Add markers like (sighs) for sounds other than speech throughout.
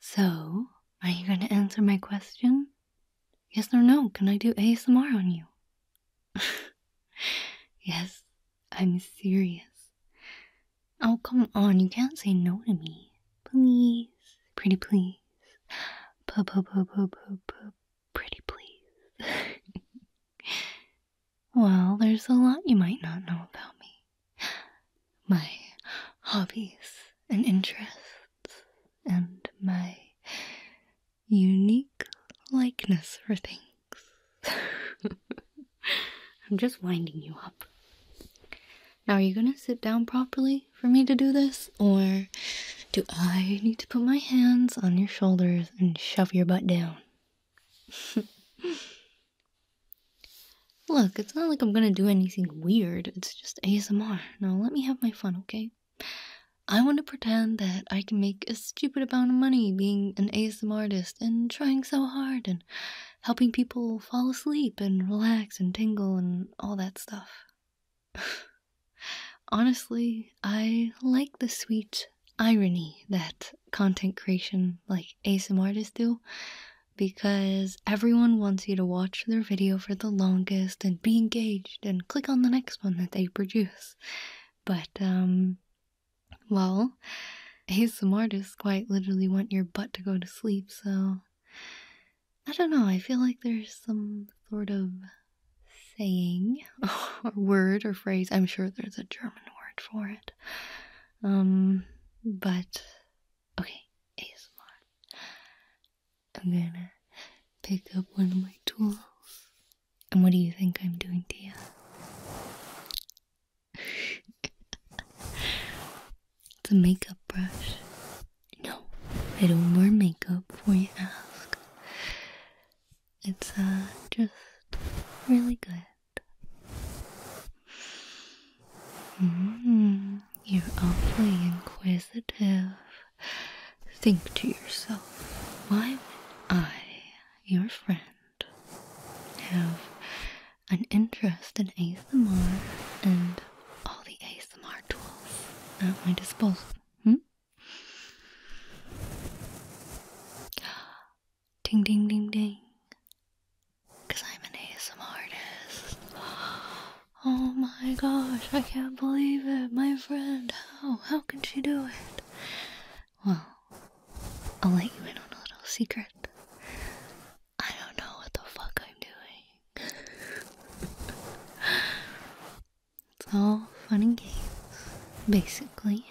So, are you going to answer my question? Yes or no? Can I do ASMR on you? (laughs) yes, I'm serious. Oh, come on, you can't say no to me. Please, pretty please. P -p -p -p -p -p pretty please. (laughs) Well, there's a lot you might not know about me. My hobbies and interests, and my unique likeness for things. (laughs) I'm just winding you up. Now, are you gonna sit down properly for me to do this, or do I need to put my hands on your shoulders and shove your butt down? (laughs) Look, it's not like I'm gonna do anything weird, it's just ASMR. Now let me have my fun, okay? I want to pretend that I can make a stupid amount of money being an ASMR artist and trying so hard and helping people fall asleep and relax and tingle and all that stuff. (laughs) Honestly, I like the sweet irony that content creation like ASM artists do because everyone wants you to watch their video for the longest and be engaged and click on the next one that they produce. But, um, well, ASM artists quite literally want your butt to go to sleep, so I don't know, I feel like there's some sort of saying or (laughs) word or phrase. I'm sure there's a German word for it. Um, but okay, ASMR. I'm gonna pick up one of my tools. And what do you think I'm doing to (laughs) it's a makeup brush. No, I don't wear makeup before you ask. It's uh, just really good. Mm-hmm. you're awfully inquisitive. Think to yourself, why would I, your friend, have an interest in ASMR and all the ASMR tools at my disposal? Hmm? (gasps) Ding ding ding ding. I'm an ASM (gasps) Oh my gosh, I can't believe it. My friend, how? How can she do it? Well, I'll let you in on a little secret. I don't know what the fuck I'm doing. (laughs) It's all fun and games, basically.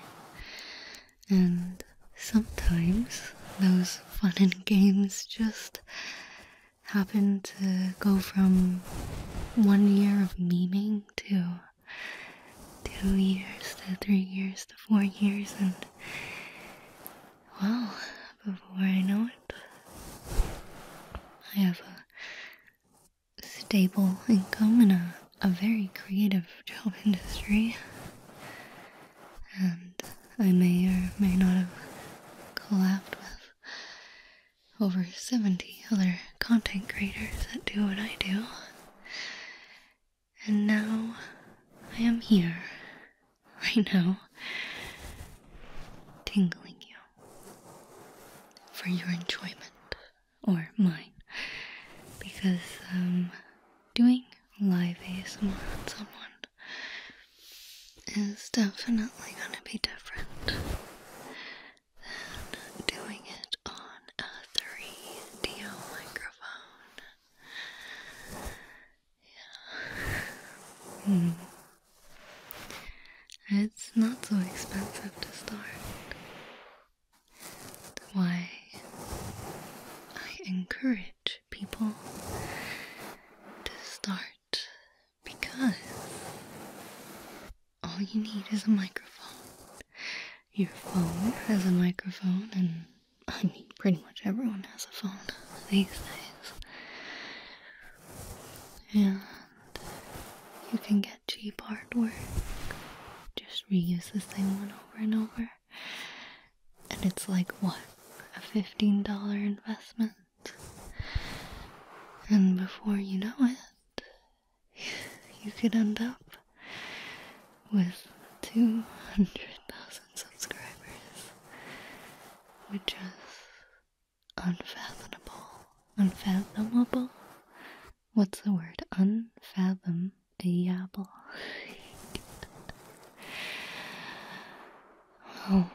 And sometimes those fun and games just happen to go from one year of meming to two years to three years to four years, and well, before I know it, I have a stable income in a, a very creative (laughs) job industry. And I may or may not have collabed with over 70 other content creators that do what I do. And now I am here. (laughs) I know. Tingling you for your enjoyment or mine, because um, doing live is more on someone is definitely going to be different than doing it on a 3D microphone. Yeah. Hmm. It's not so expensive to start why I encourage people to start because all you need is a microphone. Your phone has a microphone, and I mean, pretty much everyone has a phone these days. And you can get that cheap artwork. Just reuse the same one over and over. And it's like what? A $15 investment? And before you know it, (laughs) you could end up with 200,000 subscribers, which is unfathomable, unfathomable, what's the word? Unfathomable. Oh.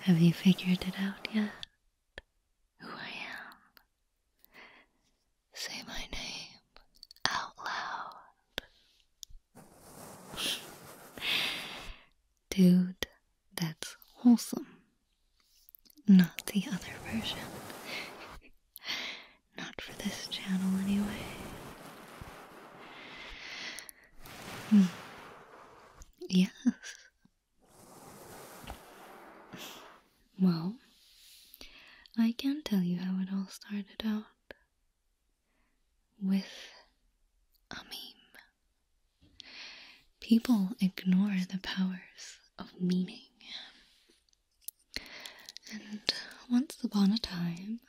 Have you figured it out yet? Who I am? Say my name out loud. Dude, that's wholesome. Not the other version. (laughs) Not for this channel, anyway. Mm. Yes. (laughs) Well, I can tell you how it all started out with a meme. People ignore the powers of meaning. And once upon a time,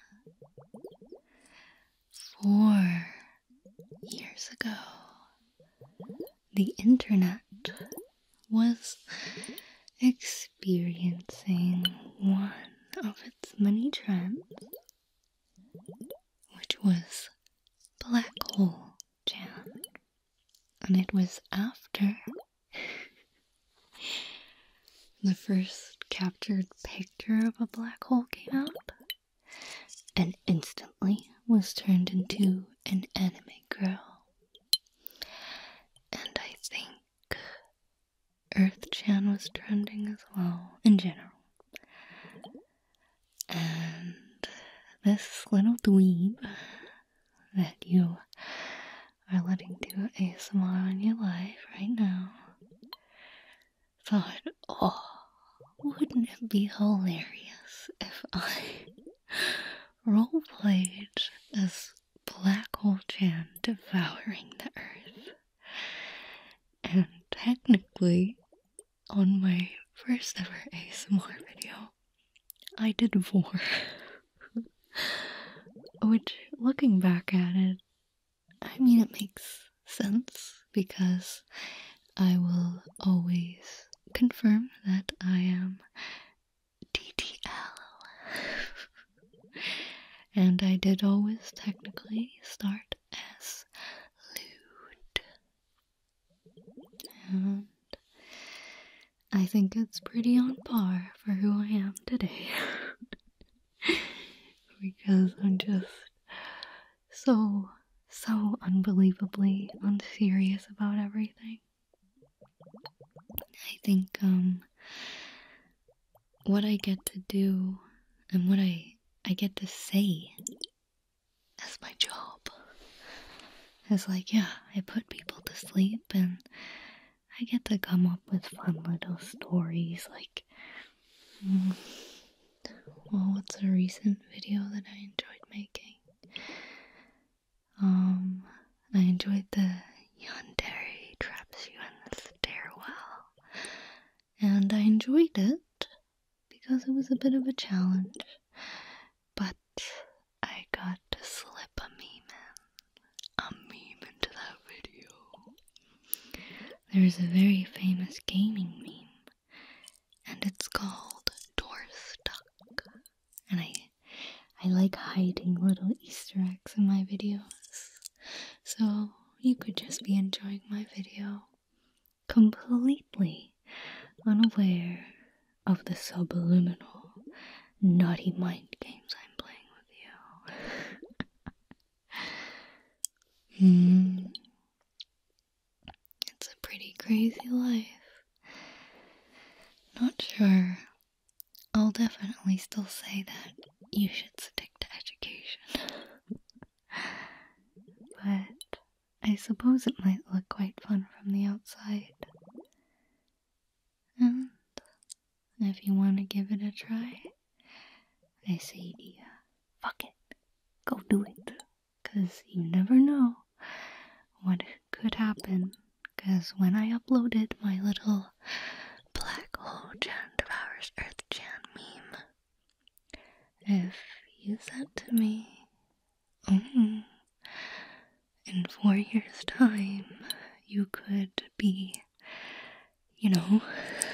four years ago, the internet was experiencing one of its many trends, which was black hole down. And it was after (laughs) the first captured picture of a black hole came out and instantly was turned into an anime girl. And I think Earth Chan was trending as well in general. And this little dweeb that you are letting do ASMR on your life right now thought, oh, wouldn't it be hilarious if I (laughs) roleplayed as Black Hole jam devouring the earth? And technically, on my first ever ASMR video, I did four. (laughs) Which, looking back at it, I mean, it makes sense because I will always confirm that I am DTL. (laughs) and I did always technically start as lewd. And I think it's pretty on par for who I am today. (laughs) because I'm just so, so unbelievably unserious about everything. I think, um, what I get to do and what I I get to say as my job. It's like, yeah, I put people to sleep and I get to come up with fun little stories like. Mm, well, what's a recent video that I enjoyed making? Um, I enjoyed the Yandere traps you in the stairwell, and I enjoyed it because it was a bit of a challenge, but I got to slip a meme in, a meme into that video. There's a very famous gaming meme, and it's called Door Stuck. And I, I like hiding little Easter eggs in my videos, so you could just be enjoying my video completely unaware of the subliminal, naughty mind games I'm playing with you. (laughs) Hmm. It's a pretty crazy life. Not sure. I'll definitely still say that you should stick to education. (laughs) but I suppose it might look quite fun from the outside. And if you want to give it a try, I say to fuck it, go do it. Cause you never know what could happen. Cause when I uploaded my little black hole Jan devours Earth Jan meme, if you said to me Mm. In four years' time, you could be, you know,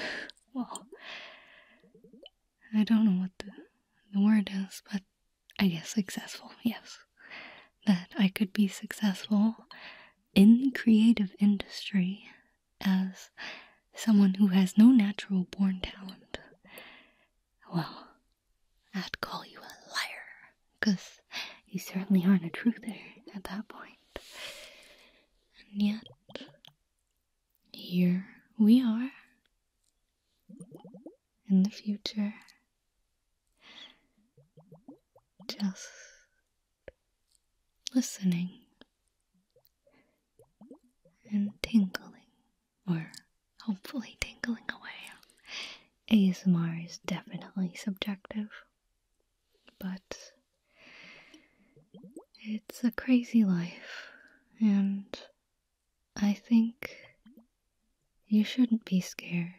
(laughs) well, I don't know what the, the word is, but I guess successful, yes. That I could be successful in the creative industry as someone who has no natural born talent well, I'd call you a liar, 'cause you certainly aren't a truther at that point. And yet, here we are. In the future. Just listening and tingling or hopefully tingling away. ASMR is definitely subjective, but it's a crazy life, and I think you shouldn't be scared.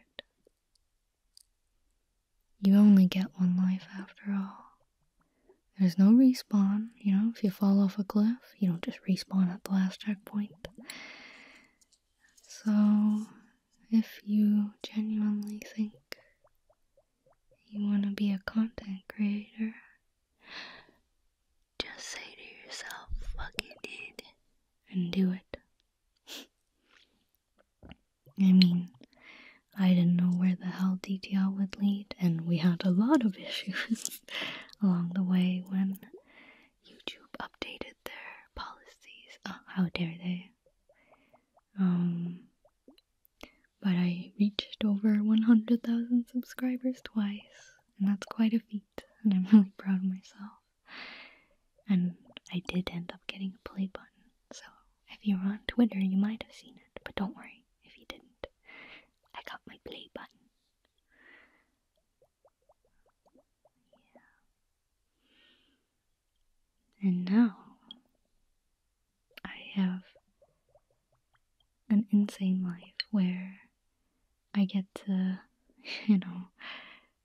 You only get one life after all. There's no respawn. You know, if you fall off a cliff, you don't just respawn at the last checkpoint. So, if you genuinely think you want to be a content creator, just say to yourself, fuck it," and do it. (laughs) I mean, I didn't know where the hell DTR would lead, and we had a lot of issues. (laughs) (laughs) along the way when YouTube updated their policies. Uh, how dare they! Um, but I reached over 100,000 subscribers twice, and that's quite a feat, and I'm really proud of myself. And I did end up getting a play button, so if you were on Twitter, you might have seen it, but don't worry if you didn't. I got my play button. And now I have an insane life where I get to, (laughs) you know,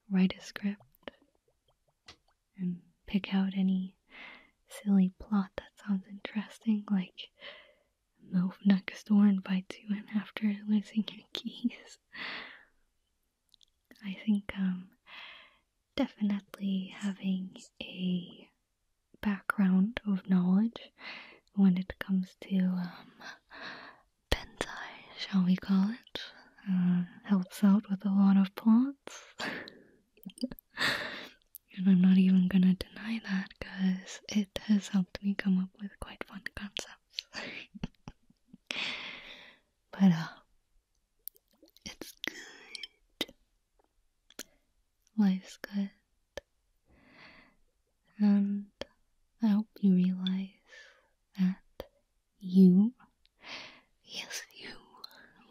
write a script and pick out any silly plot that sounds interesting, like move next door and buy two and after losing your keys. I think um definitely having a background of knowledge when it comes to um pentai, shall we call it, uh, helps out with a lot of plots. (laughs) and I'm not even gonna deny that because it has helped me come up with quite fun concepts. (laughs) but, uh, it's good. Life's good. And I hope you realize that you, yes, you,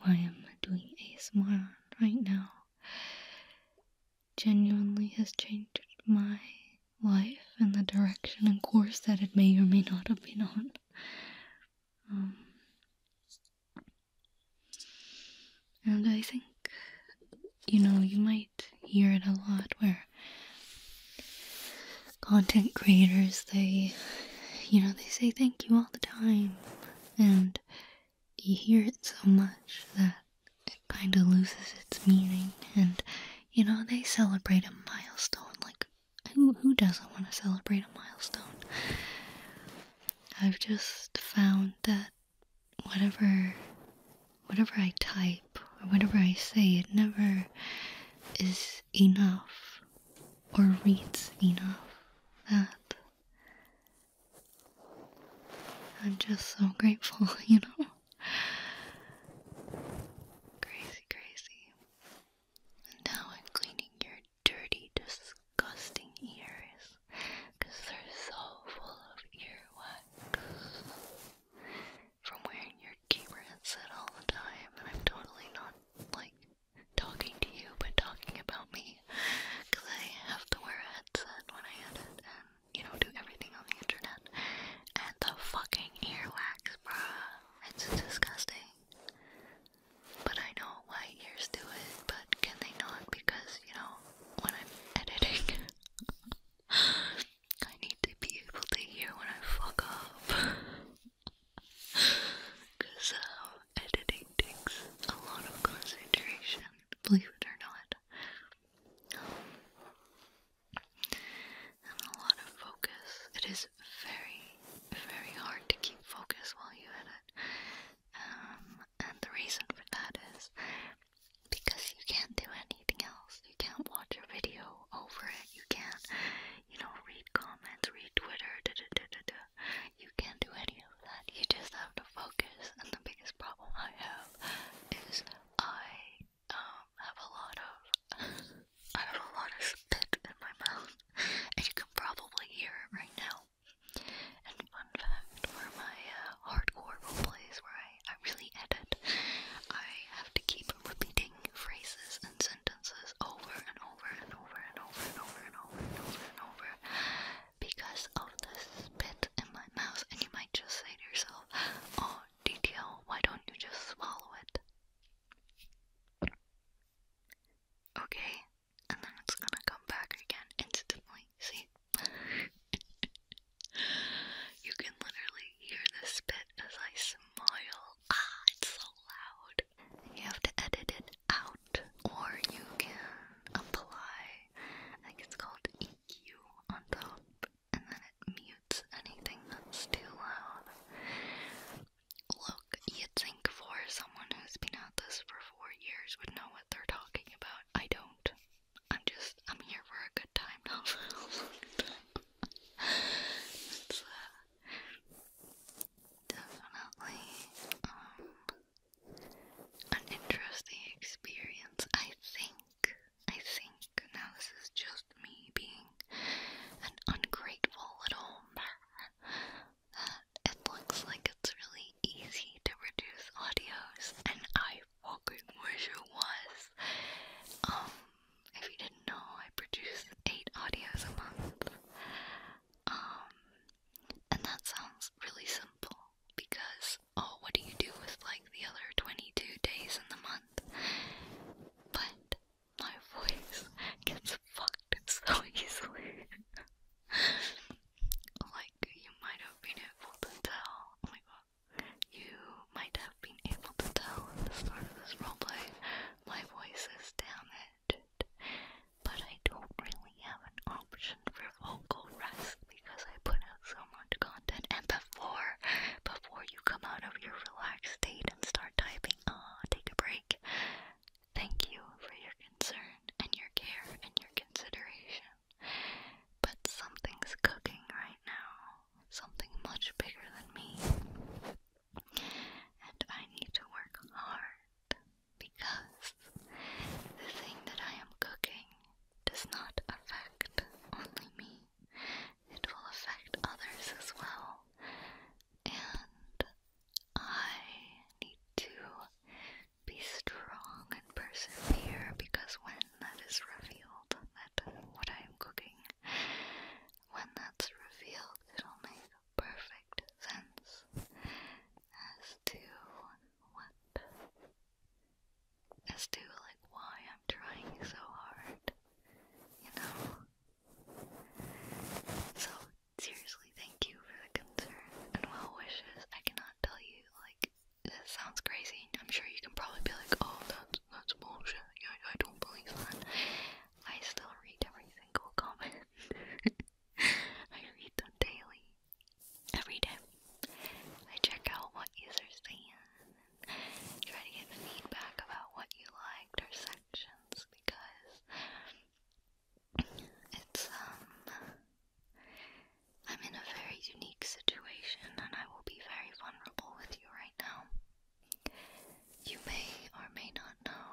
I am doing a smile right now, genuinely has changed my life and the direction and course that it may or may not have been on. Um, and I think, you know, you might hear it a lot where content creators, they, you know, they say thank you all the time. And you hear it so much that it kind of loses its meaning. And you know, they celebrate a milestone. Like, who who doesn't want to celebrate a milestone? I've just found that whatever whatever I type or whatever I say, it never is enough or reads enough. That I'm just so grateful, (laughs) you know. Crazy, crazy. now I'm cleaning your dirty, disgusting ears they're so full of earwax from wearing your gamer headset all the time. And I'm totally not like talking to you, but talking about me I have to wear a headset when I edit, you know, do everything on the internet. And the fucking earwax, bruh. It's disgusting. But I know why ears do it, but can they not? Because, you know, when I'm editing, (laughs) I need to be able to hear when I fuck up. Because (laughs) uh, editing takes a lot of concentration, believe it or not and a lot of focus. It is very, very hard to keep focus while you edit. Um, and the reason for that is because you can't do anything else. You can't watch a video over it. You can't, you know, read comments, read Twitter, da da da da da. You can't do any of that. You just have to focus. And the biggest problem I have is I um have a lot of (laughs) I have a lot of spit in my mouth, and you can probably hear it right now. And fun fact for my uh, hardcore roleplays where I, I really edit, I have to keep repeating phrases and sentences over and over and over and over and over and over and over, and over because of the spit in my mouth, and you might just say to yourself, Oh, DTL, why don't you just swallow it? Okay, and then it's gonna come back again instantly. See? (laughs) you can literally hear the spit as I smile. Ah, it's so loud. You have to edit it out, or you can apply, I think it's called EQ on top, and then it mutes anything that's too loud. Look, you'd think for someone who's been at this for four years would know what they're talking about. I don't. I'm just, I'm here for a good time, (laughs) not it's, uh, definitely, um, an interesting experience, I think. I think now this is just me being an ungrateful little man. Uh, it looks like it's really easy to produce audios, and I fucking wish it was. Um, if you didn't know, I produce eight audios a month. Um, and that sounds really simple because oh, what do you do with like the other 22 days in the month? But my voice gets fucked so easily. (laughs) like, you might have been able to tell. Oh my god. You might have been able to tell at the start of this roleplay, my voice is damaged. But I don't really have an option for vocal rest because I put out so much content and before before you come out of your relaxed state and start typing, ah, take a break. Thank you for your concern and your care and your consideration. But something's cooking right now. Something much bigger than me. And I need to work hard because the thing that I am cooking does not affect only me, it will affect others as well. And I need to be strong and persevere because when that is revealed, that what I am cooking, when that's revealed, it'll make perfect sense as to what as to like why I'm trying so hard, you know. So seriously, thank you for the concern and well wishes. I cannot tell you like that sounds crazy. I'm sure you can probably be like, oh, that's that's bullshit. I, I don't believe that. I still read every single (laughs) comment. I read them daily every day. I check out what users saying and try to get feedback about what you liked or sections because it's um I'm in a very unique situation and I will be very vulnerable with you right now. You may or may not know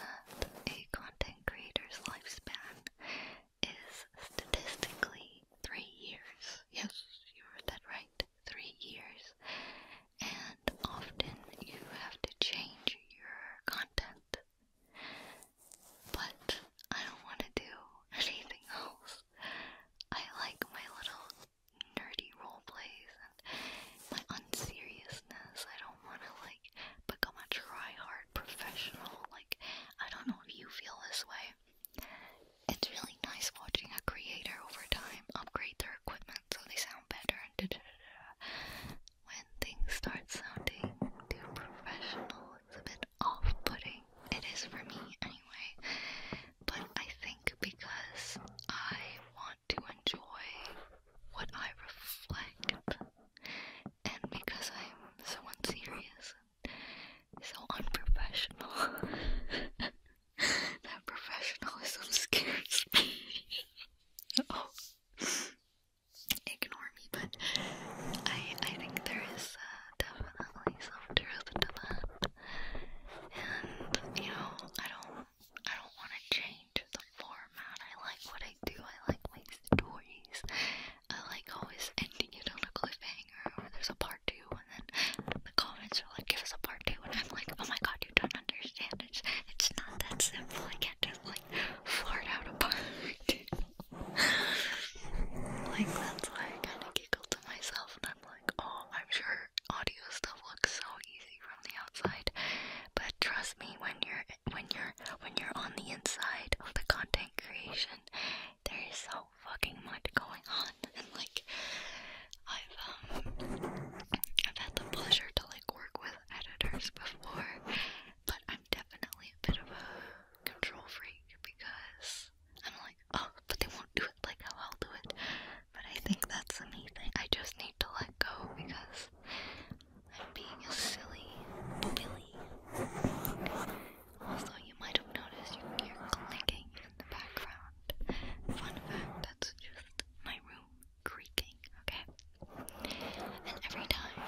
that a content creator's lifespan is statistically three years. Yes, you heard that right. Three years. And often you have to change your content. But I don't want to do (laughs) anything else. I like my little nerdy roleplays and my unseriousness. I don't want to like become a try professional. Like, I don't know if you feel this way. It's really nice watching a creator over time upgrade their equipment so they sound better and da da When things start sounding too professional, it's a bit off putting. It is for me anyway. But I think because I want to enjoy what I reflect and because I'm so serious. So unprofessional. (laughs) that professionalism scares me. (laughs) oh. Ignore me, but I I think there is uh, definitely some truth to that. And you know, I don't I don't want to change the format. I like what I do. I like my stories. I like always ending it on a cliffhanger or there's a part two and then the comments are like give us a part two and I'm like oh my god you don't understand it's it's not that simple I can't just like fart out a part (laughs) like that's why I kinda giggle to myself and I'm like oh I'm sure audio stuff looks so easy from the outside but trust me when you're when you're when you're on the inside of the content creation there is so fucking much going on, (laughs) and like I've um I've had the pleasure to like work with editors before, but I'm definitely a bit of a control freak because I'm like, oh, but they won't do it like how I'll do it. But I think that's the neat thing. I just need to let go because I'm being a silly billy. Also, you might have noticed you hear clicking in the background. Fun fact, that's just my room creaking, okay? And every time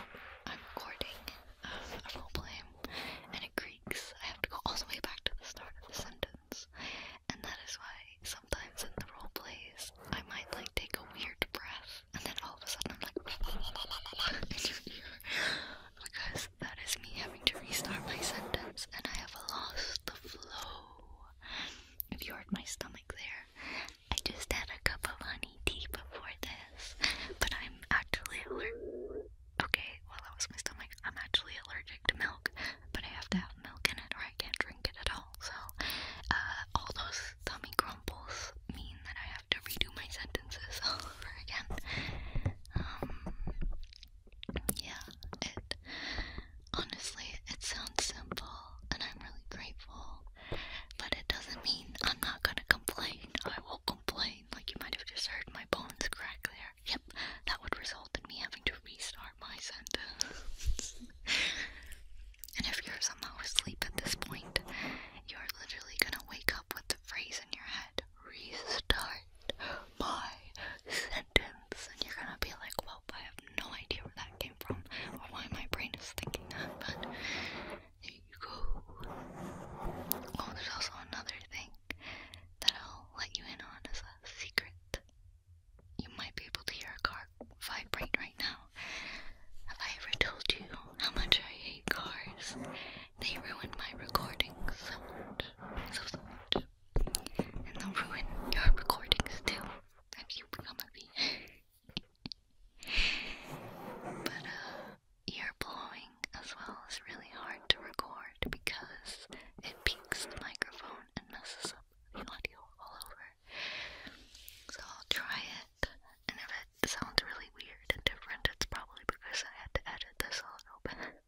I'm recording uh, a roleplay and it creaks, I have to go all the way back to the start of the sentence. And that is why sometimes in the roleplays, I might like take a weird breath and then all of a sudden I'm like, (laughs) because that is me having to restart my sentence and I have lost the flow. If you heard my stomach there, I just had a cup of honey tea before this, but I'm actually allergic. Okay, well that was my stomach. I'm actually allergic to milk, but I have to have milk in it or I can't drink it at all. So, uh, all those tummy grumbles mean that I have to redo my sentences (laughs) all over again. Um, yeah, it honestly it sounds simple and I'm really grateful, but it doesn't mean I'm not gonna complain. I will complain. Like you might have just heard my bones crack there. Yep, that would result in me having to restart my sentence. and if you're somehow asleep at this point, you're literally gonna wake up with the phrase in your head restart my sentence. And you're gonna be like, well, I have no idea where that came from or why my brain is thinking that, but there you go. Oh, there's also another thing that I'll let you in on as a secret. You might be able to hear a car vibrate right now. Have I ever told you how much I hate cars they ruin my recordings so much. So, much. And they ruin your recordings too if you become a bee. but uh, ear blowing as well is really hard to record because it peaks the microphone and messes up the audio all over. So I'll try it, and if it sounds really weird and different, it's probably because I had to edit this a little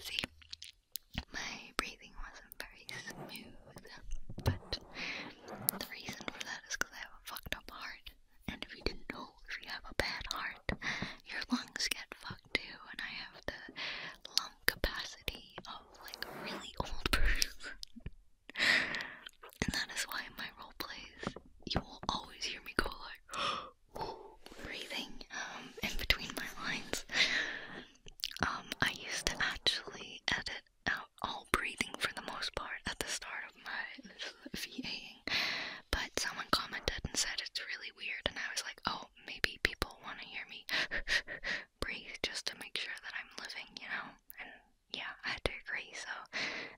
See, my breathing wasn't very smooth, but the reason for that is I have a fucked up heart. And if you didn't know, if you have a bad heart, your lungs get fucked too. And I have the lump capacity of like a really old (laughs) person. and that is why in my role plays you will always hear me go like (gasps) breathing um in between my lines. Um I used to actually edit out all breathing for the most part at the start of my (laughs) VAing. But someone commented and said it's really weird and I was like, oh maybe people wanna hear me (laughs) breathe just to make sure that I'm living, you know? And yeah, I had to agree, so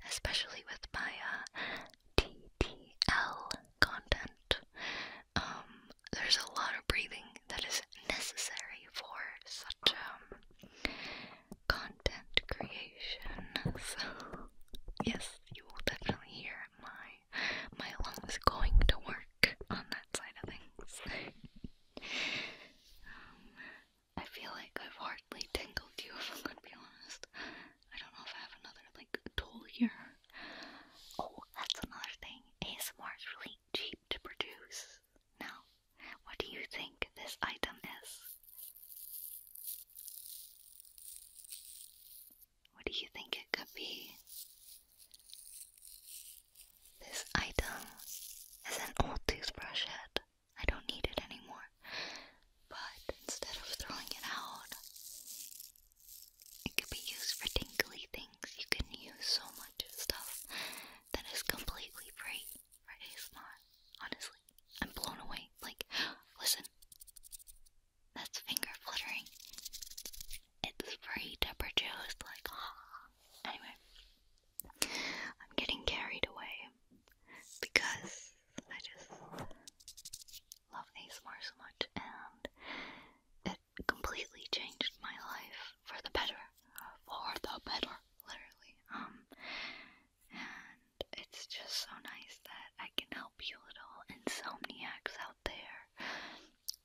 especially with my uh, content, um, there's a lot of breathing that is necessary for such um, content creation. So yes, you will definitely hear my my lungs going to work on that side of things. I feel like I've hardly tingled you, (laughs) if I'm gonna be honest. I don't know if I have another, like, tool here. Oh, that's another thing. ASMR is really cheap to produce. Now, what do you think this item is? What do you think it could be? This item is an old toothbrush head. I don't need it anymore. But instead of throwing it out, it could be used for tinkly things. You can use so much stuff that is completely free Right? It's not. Honestly, I'm blown away. Like, (gasps) listen, that's finger fluttering. It's free to produce, like, (laughs) Anyway, I'm getting carried away because I just love these ASMR so much and it completely changed my life for the better. For the better, literally. Um, and it's just so nice that I can help you little insomniacs out there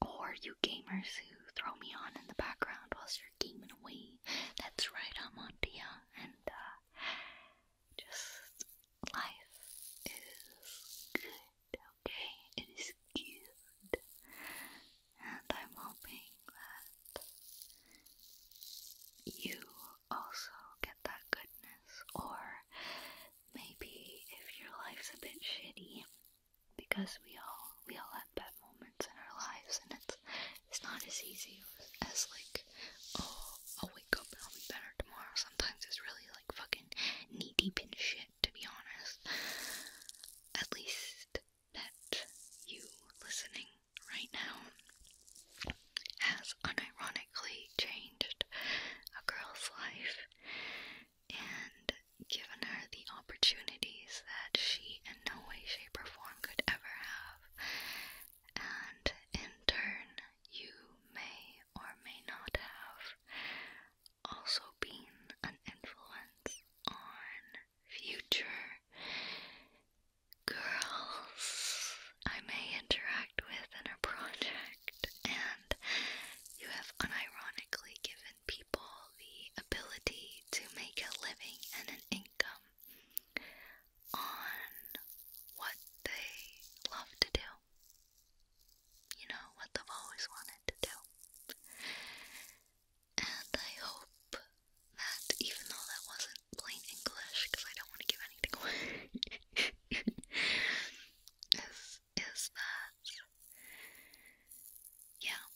or you gamers who throw me on in the background whilst you're gaming away. That's right, I'm on Dia. And uh, just life is good, okay? It is good. And I'm hoping that you also get that goodness. Or maybe if your life's a bit shitty, because we all we all have bad moments in our lives, and it's it's not as easy as like oh I'll wake up I'll be better tomorrow. Sometimes it's really like fucking knee deep in shit, to be honest. At least that you listening right now has unironically changed a girl's life, and given her the opportunities that she in no way, shape, or form could ever have, and in turn, you may or may not have also been an influence on future girls I may interact with in a project, and you have unironically given people the ability to make a living and an income on what they love to do. You know, what they've always wanted to do. And I hope that even though that wasn't plain English, because I don't want to give anything away, (laughs) is that, yeah,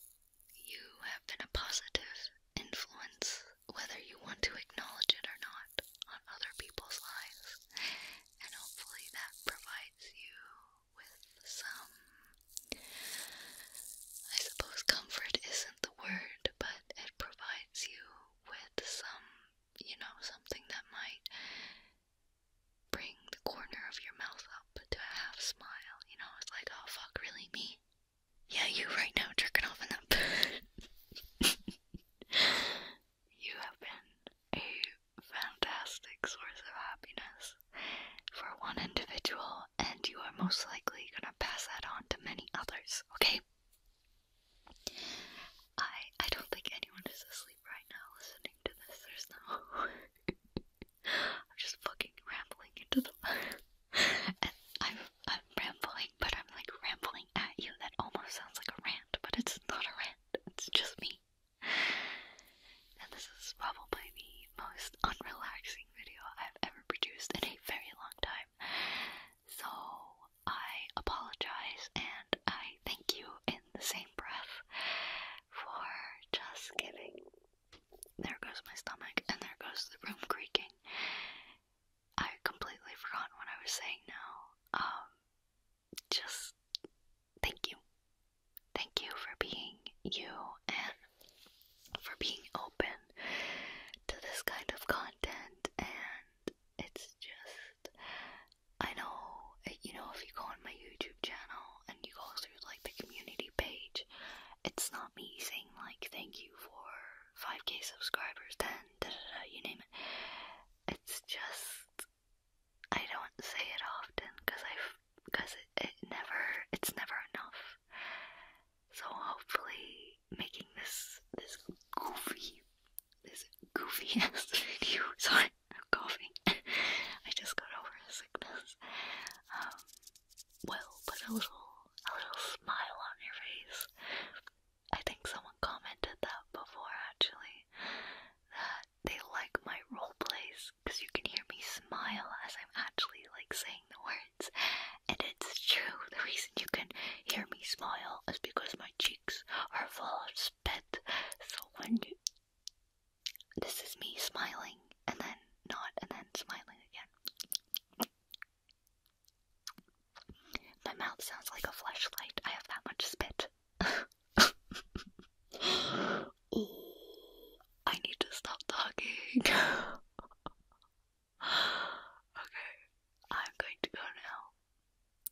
you have been a positive influence, whether you want to acknowledge it or not, on other people's lives. And hopefully that provides you with some. I suppose comfort isn't the word, but it provides you with some, you know, something that might bring the corner of your mouth up to a half smile. You know, it's like, oh fuck, really me? Yeah, you right now jerking off in that (laughs) You have been a fantastic source of happiness for one individual, and you are most likely gonna pass that on to many others, okay? I I don't think anyone is asleep right now listening to this. There's no (laughs) I'm just fucking rambling into the (laughs) and I'm I'm rambling, but I'm like rambling at you. That almost sounds like a rant, but it's not a rant. It's just me. And this is probably the most unrelaxing video I've ever produced in a very long time. So I apologize and I thank you in the same breath for just giving there goes my stomach, and there goes the room creaking. I completely forgot what I was saying now. Um, just thank you. Thank you for being you and for being open to this kind of content. And it's just, I know, you know, if you go on my YouTube channel and you go through like the community page, it's not me saying like thank you for 5k subscribers, 10, you name it. It's just I don't say it often because I because it, never it's never enough. So hopefully making this this goofy this goofy (laughs) video sorry I'm coughing (laughs) I just got over a sickness um, will put a little, a little smile on your face. I think someone commented that before actually, that they like my role plays because you can hear me smile as I'm actually like saying the words, and it's true. The reason you can hear me smile is because my cheeks are full of spit. So when you, this is me smiling and then not and then smiling again. My mouth sounds like a flashlight. I have that much spit. (laughs) I need to stop talking. (laughs) okay, I'm going to go now.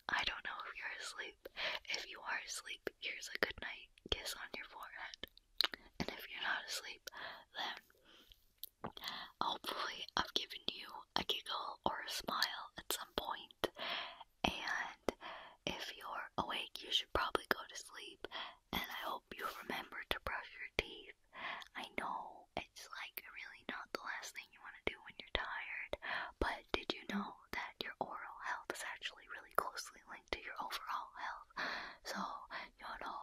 I don't know if you're asleep. If you are asleep, here's a good kiss on your forehead. And if you're not asleep, then hopefully I've given you a giggle or a smile at some point. And if you're awake, you should probably go to sleep. And I hope you remember to brush your teeth. I know it's like really not the last thing you want to do when you're tired, but did you know that your oral health is actually really closely linked? to your overall health. So, you know,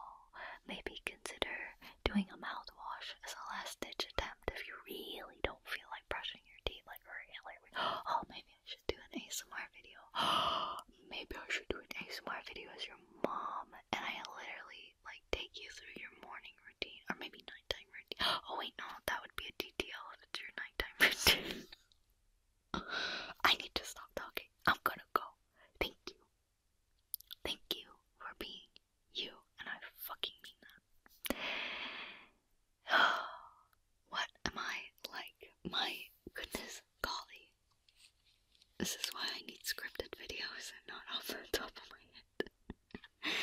maybe consider doing a mouthwash as a last ditch attempt if you really don't feel like brushing your teeth like really, like, oh, maybe I should do an ASMR video. (gasps) maybe I should do an ASMR video as your mom and I literally like take you through your morning routine or maybe nighttime routine. (gasps) Oh wait, no, that would be a detail if it's your nighttime (laughs) routine. (laughs) I need to stop talking. I'm gonna go. Thank you. Thank you for being you, and I fucking mean that. (sighs) what am I like? My goodness, golly. This is why I need scripted videos and not off the top of my head.